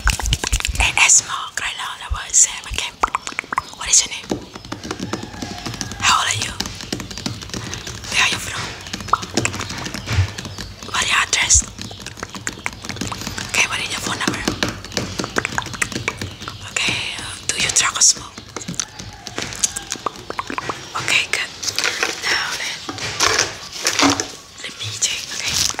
ASMR right now that was Sam okay what is your name how old are you where are you from what is your address okay what is your phone number okay uh, do you drug or smoke okay good now then let me take, okay.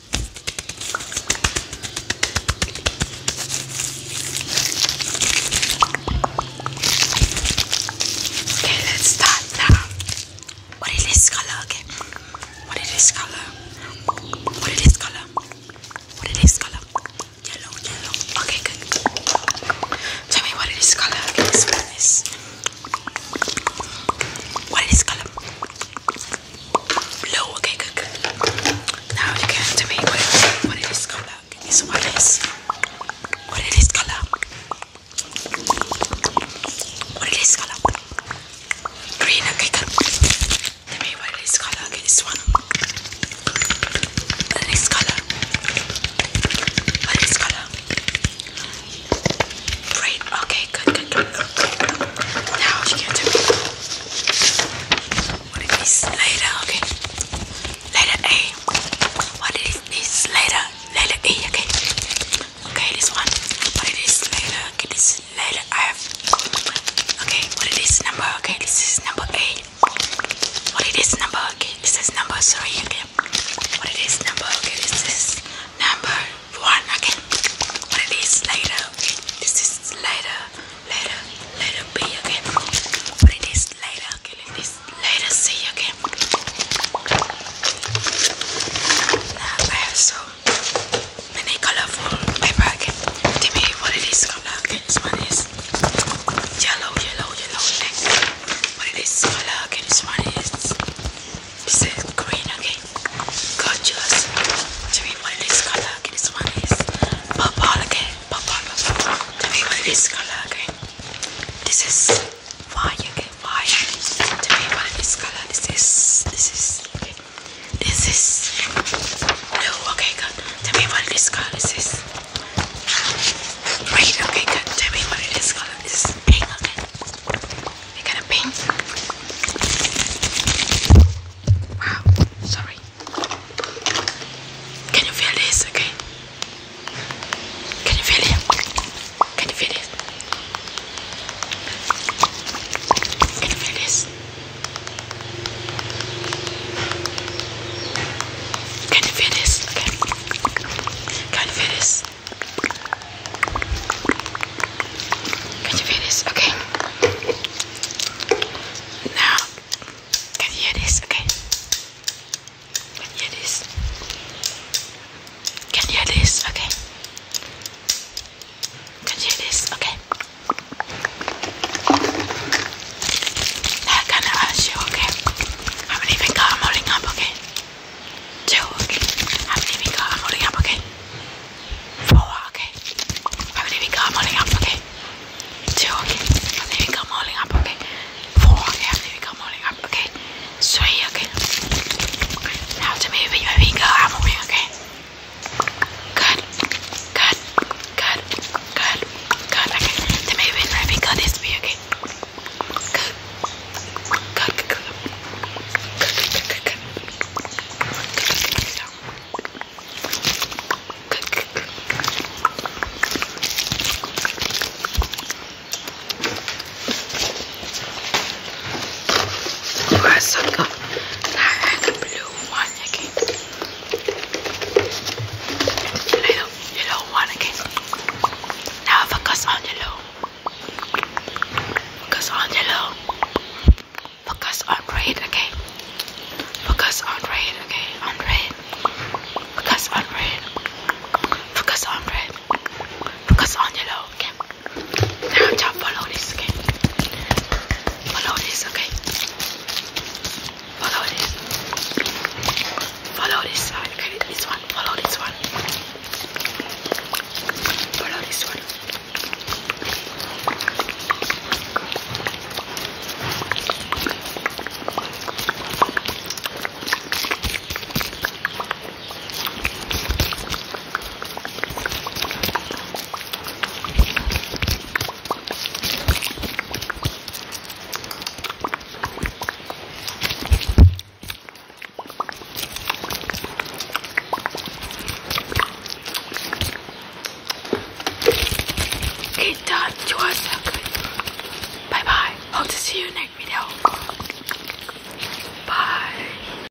Okay, let's start now. What is this color? Okay. What is this color? What is this color? What is this color? Yellow, yellow. Okay, good. Tell me what is this color? Can you spell this? What is this color? blue. Okay, good, Now you can tell me what, what it is color. Is what it is? What it is color? What it is color? Green. Okay, good. Tell me what it is color. this one. What it is color? What it is color? Great. Okay, good, good, good. Now she can do What is this? Later, okay. Letter A. What is this? Later. Letter A, okay. Okay, this one. What is this? Later. Okay, this later I have. Okay, what is this number? Okay, this is number A. What is this number? Okay, this is number three. Okay, what it is number okay this is number one okay what it is later okay this is later later later Be okay what it is later okay like this later C again. now I have so many colorful paper okay tell me what it is color okay this one is yellow yellow yellow but this color, okay, this one is this is green, okay? Gorgeous. Tell me what this color, okay, this one is purple, okay? Purple, purple. Tell me what this color, okay? This is why, okay? Why? Tell me what this color, this is, this is, okay? This is blue, okay? God. Tell me what this color, this is. Right, okay, good. Tell me what it is. This is It kind of pink. Wow, sorry. Can you feel this, okay? Can you feel it? Can you feel it? Can you feel this? Can you feel this? Okay. Can you feel this? Can you feel this? Okay. Now, can you hear this? Okay. Can you hear this? Can you hear this? Okay. Can you hear this? Okay. They're gonna hurt you, okay? How many finger i holding up, okay? Two, okay? How many finger I'm holding up, okay? Four, okay? How many finger I'm holding up, okay? Two, okay? How many finger I'm holding up, okay? Four, okay? How many finger I'm holding up, okay? Three, okay? Now to me with your finger I'm moving, okay? Good, good, good. Good. Good. Okay. To maybe it's right because this be okay. Good. Good. Good. Good. Good. Good. Good. Good. Good. Good. Good. Good. Good. Good. Now I have the blue one again. And I don't, Now focus on your low. Focus on your Focus on red, okay? Focus on red, okay? On red. Focus on red. Focus on red. Focus on yellow, okay? Now just follow this, okay? Follow this, okay? Follow this. Follow this. I this one. Follow this one. Follow this one. Get done. You are so good. Bye bye. Hope to see you next video. Bye.